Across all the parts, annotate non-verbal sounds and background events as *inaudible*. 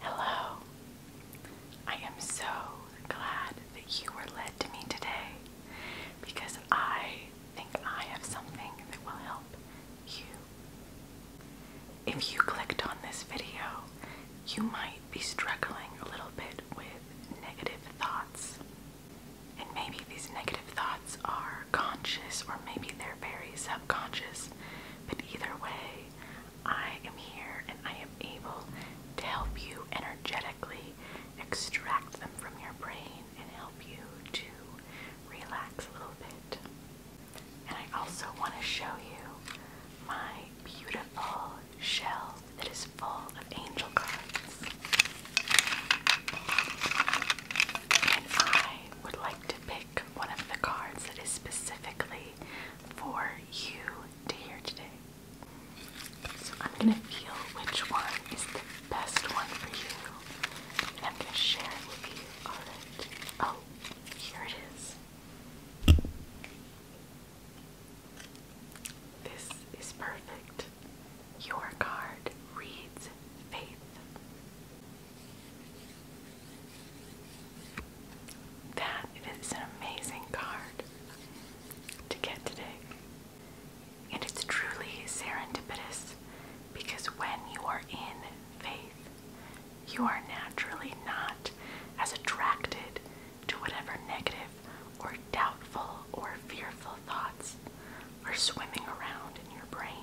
Hello. I am so glad that you were led to me today because I think I have something that will help you. If you clicked on this video, you might be struggling a little bit with negative thoughts. And maybe these negative thoughts are conscious or maybe they're very subconscious. But either way, I am here and I am able to help you energetically extract them from your brain and help you to relax a little bit. And I also want to show you my beautiful shelf that is full of angel cards. And I would like to pick one of the cards that is specifically for you to hear today. So I'm going to feel which one is the best one for you. And I'm going to share it with you. Oh, here it is. This is perfect. Your card reads faith. That is an amazing card to get today. And it's truly serendipitous because when you are in faith, you are naturally not as attracted to whatever negative or doubtful or fearful thoughts are swimming around in your brain.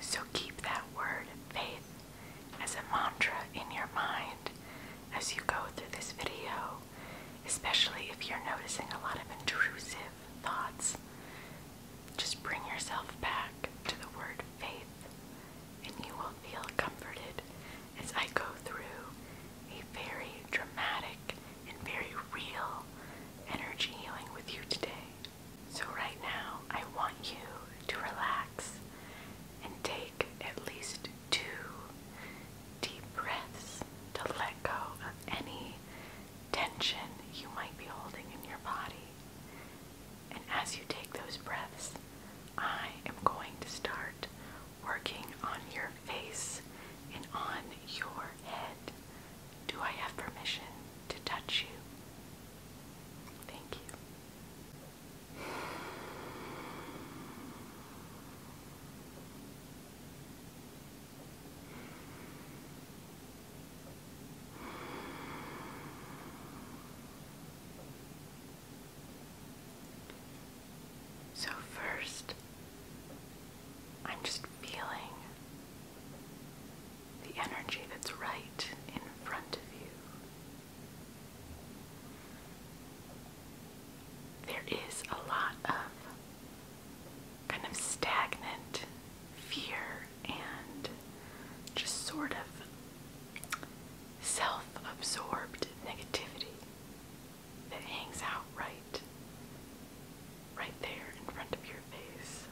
So keep that word faith as a mantra in your mind as you go through this video, especially if you're noticing a lot of intrusive thoughts. Just bring yourself back to the word faith, and you will feel comforted as I go through a very dramatic and very real energy healing with you today. So, right now, I want you to relax and take at least two deep breaths to let go of any tension you might be holding in your body. And as you take those breaths, I am going to start working on your face and on your head. Do I have permission to touch you? Thank you. So, first, I'm just feeling the energy that's right in front of you. There is a lot of kind of stagnant fear and just sort of self absorbed negativity that hangs out right, right there in front of your face.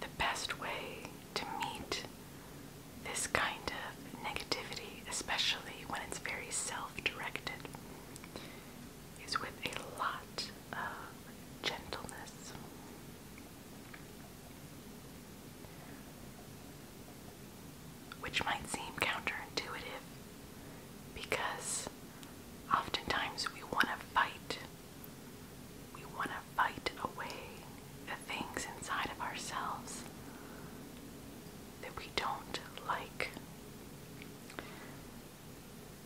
The best way to meet this kind of negativity, especially when it's very self directed, is with a lot uh, gentleness. Which might seem counterintuitive because oftentimes we want to fight. We want to fight away the things inside of ourselves that we don't like.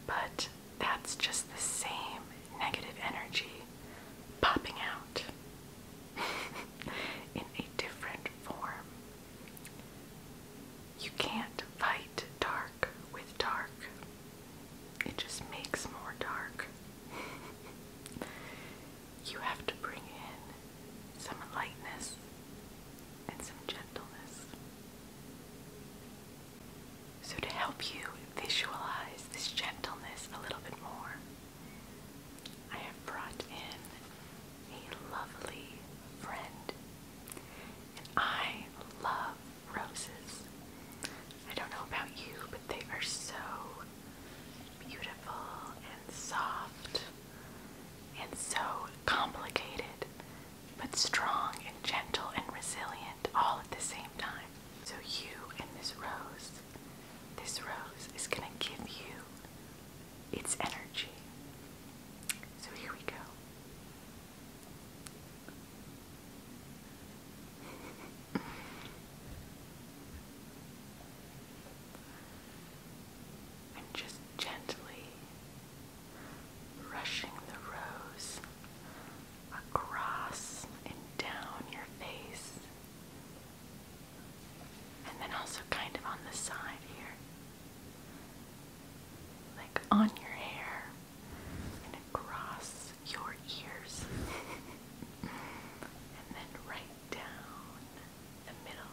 But that's just the same negative energy popping out *laughs* in a different form. You can't fight dark with dark, it just makes more dark. *laughs* you have to bring in some lightness and some gentleness. So, to help you visualize this gentleness a little bit more, I have brought in a lovely friend. And I love roses. I don't know about you, but they are so beautiful and soft and so complicated but strong and gentle and resilient all at the same time. So, you and this rose, this rose is going to give you its energy. So, here we go. i *laughs* just gently Brushing the rose across and down your face, and then also kind of on the side here, like on your hair and across your ears, *laughs* and then right down the middle.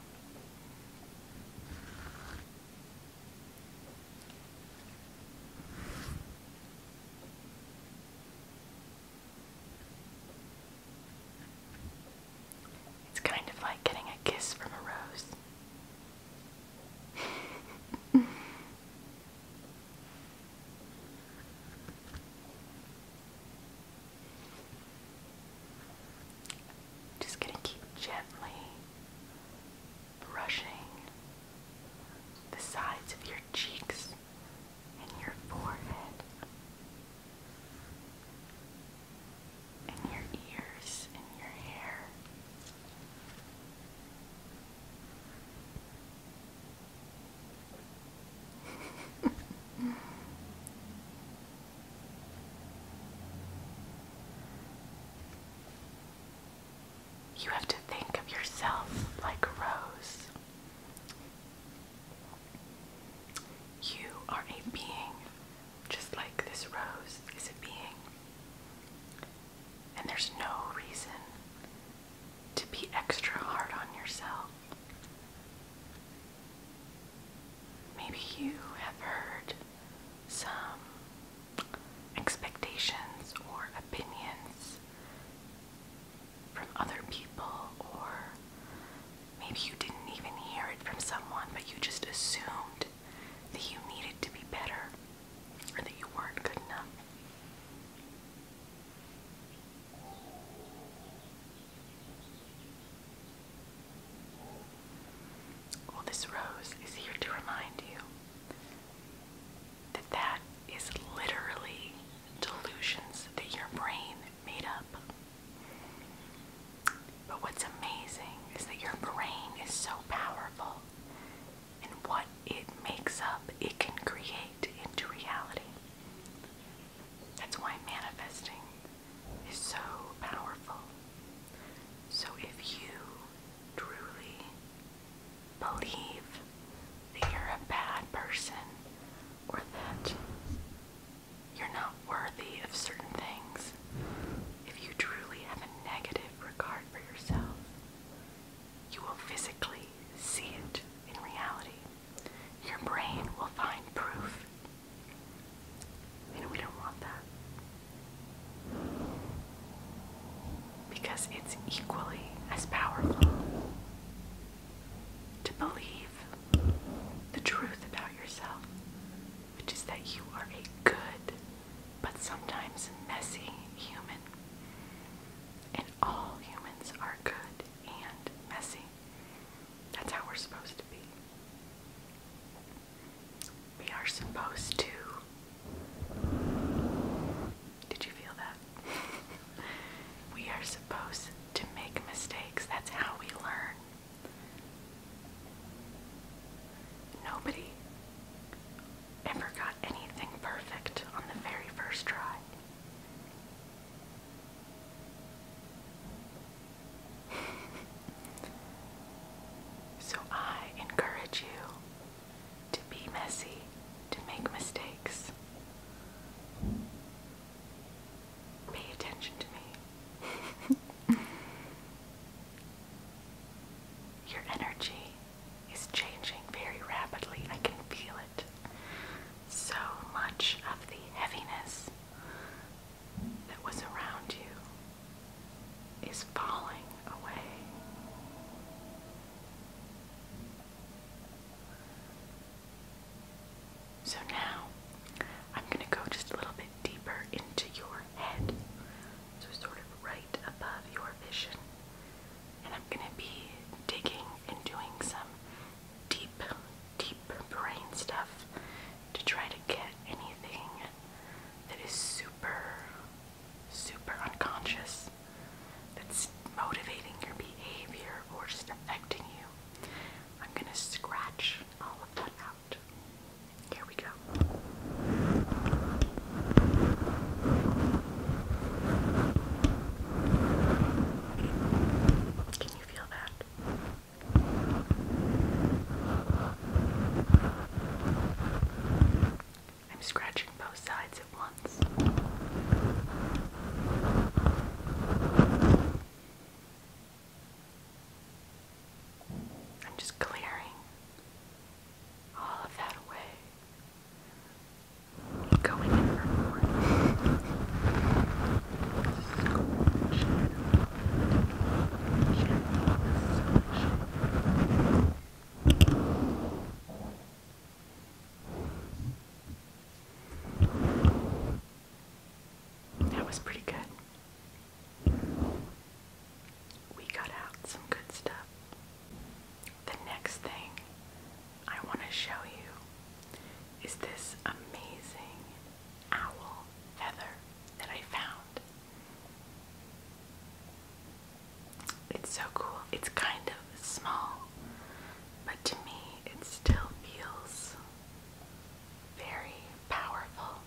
It's kind of like getting a kiss from a rose. *laughs* Just gonna keep gently brushing the sides of your cheeks and your forehead and your ears and your hair. You have to think of yourself like a rose. You are a being, just like this rose is a being. And there's no reason to be extra hard on yourself. Maybe you have heard some expectations or opinions from other people, or maybe you didn't even hear it from someone, but you just assumed that you needed to be better or that you weren't good enough. Well, this rose is here to remind you that that is literally delusions that your brain made up. But what's amazing is that your brain is so powerful and what it makes up, it can create into reality. That's why manifesting is so powerful. So if you truly believe that you're a bad person or that you're not worthy of certain things, if you truly have a negative regard for yourself, you will physically see it in reality. Your brain will find proof. And we don't want that. Because it's equally as powerful to believe the truth about yourself, which is that you are a good but sometimes messy human. And all humans are good and messy. That's how we're supposed to be we are supposed to. Did you feel that? *laughs* we are supposed to make mistakes. That's how we learn. Nobody ever got anything perfect on the very first try. *laughs* so I encourage you to be messy, to make mistakes. Pay attention to me. *laughs* Your energy is changing very rapidly. I can feel it. So much of the heaviness that was around you is falling away. So now I'm going to go just a little bit deeper into your head, so sort of right above your vision, and I'm going to be digging and doing some deep, deep brain stuff to try to get anything that is super super unconscious that's motivating your behavior or just affecting you. I'm gonna scratch all of that out. Here we go. Can you feel that? I'm scratching both sides at once. I'm just clearing all of that away. Going in for more. Scratch. That was pretty good. We got out some good stuff. The next thing I want to show you is this amazing owl feather that I found. It's so cool. It's kind of small, but to me, it still feels very powerful.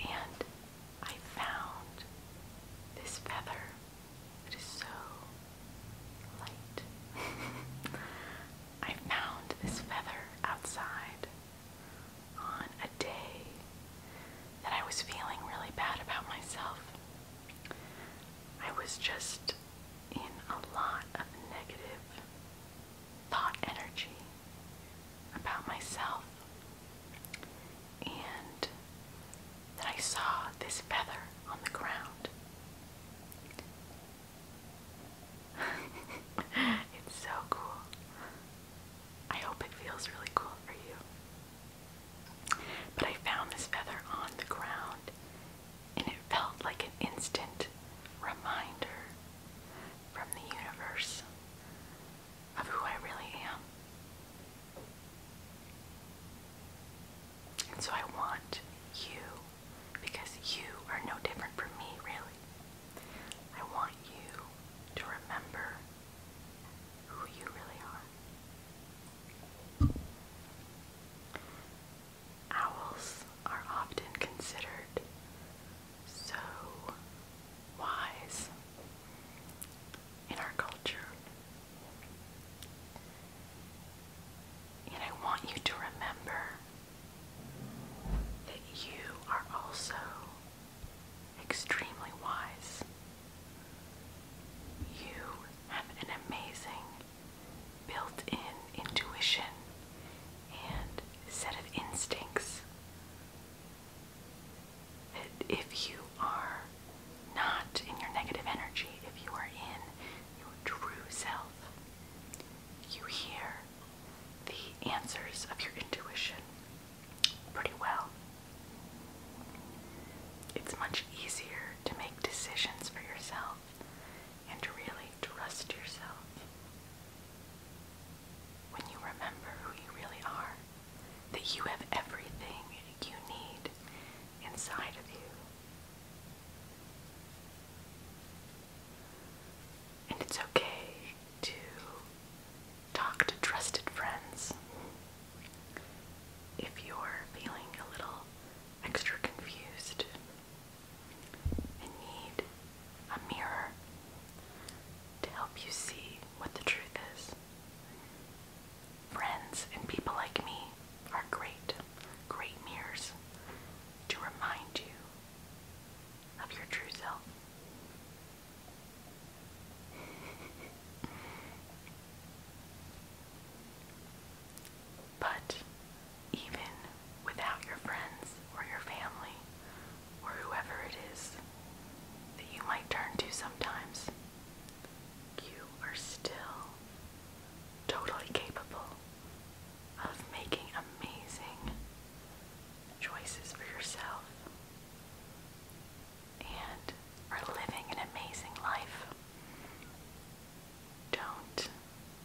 And I found this feather. It is so light. *laughs* I found this feather outside on a day that I was feeling really bad about myself. I was just in a lot of negative thought energy about myself, and that I saw this feather on the ground. *laughs* it's so cool. I hope it feels really cool for you. But I found this feather on the ground and it felt like an instant reminder from the universe of who I really am. And so I want you, because you are no different from me, really. I want you to remember who you really are. Owls are often considered so wise in our culture. And I want you to remember that you are also extremely wise. You have an amazing built in intuition and set of instincts that if you are not in your negative energy, if you are in your true self, you hear the answers of your intuition pretty well. It's much easier to make decisions for yourself and to really trust yourself when you remember who you really are, that you have everything you need inside of you. And it's okay to Talk to trusted friends. If you're feeling a little extra confused and need a mirror to help you see what the truth is, friends and people like me are great, great mirrors to remind you of your true self. But even without your friends or your family or whoever it is that you might turn to sometimes, you are still totally capable of making amazing choices for yourself and are living an amazing life. Don't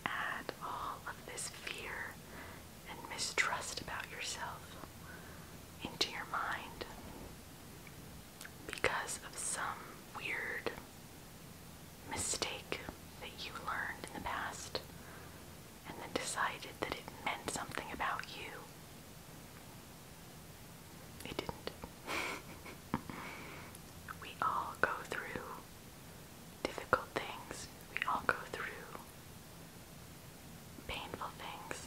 add all of this fear and mistrust about yourself into your mind because of some weird mistake that you learned in the past and then decided that it meant something about you. It didn't. *laughs* we all go through difficult things. We all go through painful things.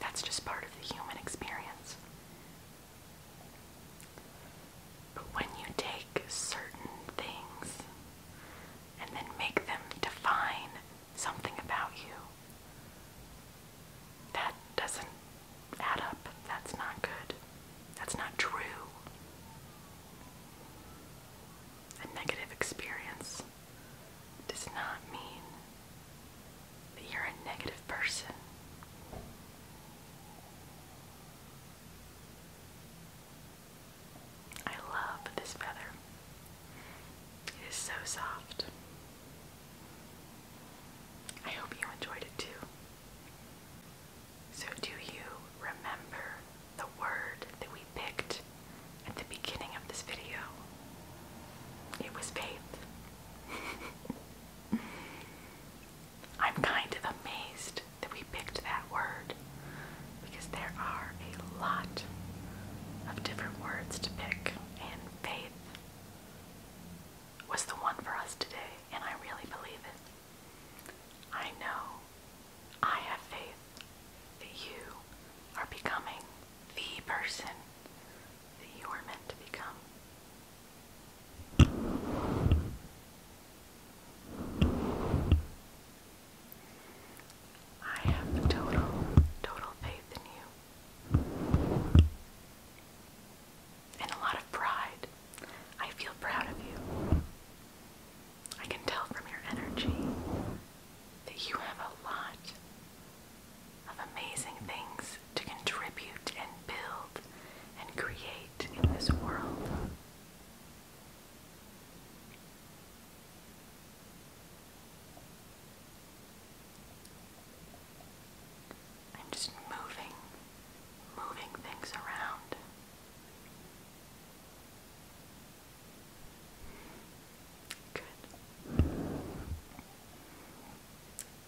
That's just part of the human experience. But when you take certain things and then make them define something about you. That doesn't add up. That's not good. That's not true. A negative experience does not mean that you're a negative person. I love this feather. It is so soft. I hope you enjoyed it too. So, do you remember the word that we picked at the beginning of this video? It was faith. *laughs* I'm kind of amazed that we picked that word because there are a lot of different words to pick, and faith was the one for us today, and I really believe it. I know I have faith that you are becoming the person that you are meant to become. I have total, total faith in you. And a lot of pride. I feel proud of you. I can tell from your energy that you have a lot of amazing things to contribute and build and create in this world. I'm just moving, moving things around. Good.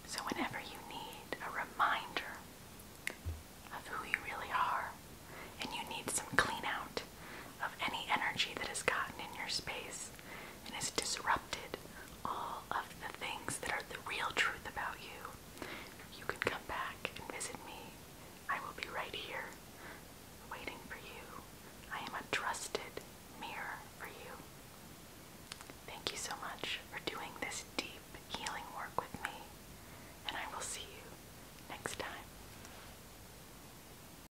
So, whenever you need a reminder of who you really are and you need some clean out, of any energy that has gotten in your space and has disrupted all of the things that are the real truth about you, you can come back and visit me. I will be right here waiting for you. I am a trusted mirror for you. Thank you so much for doing this deep healing work with me, and I will see you next time.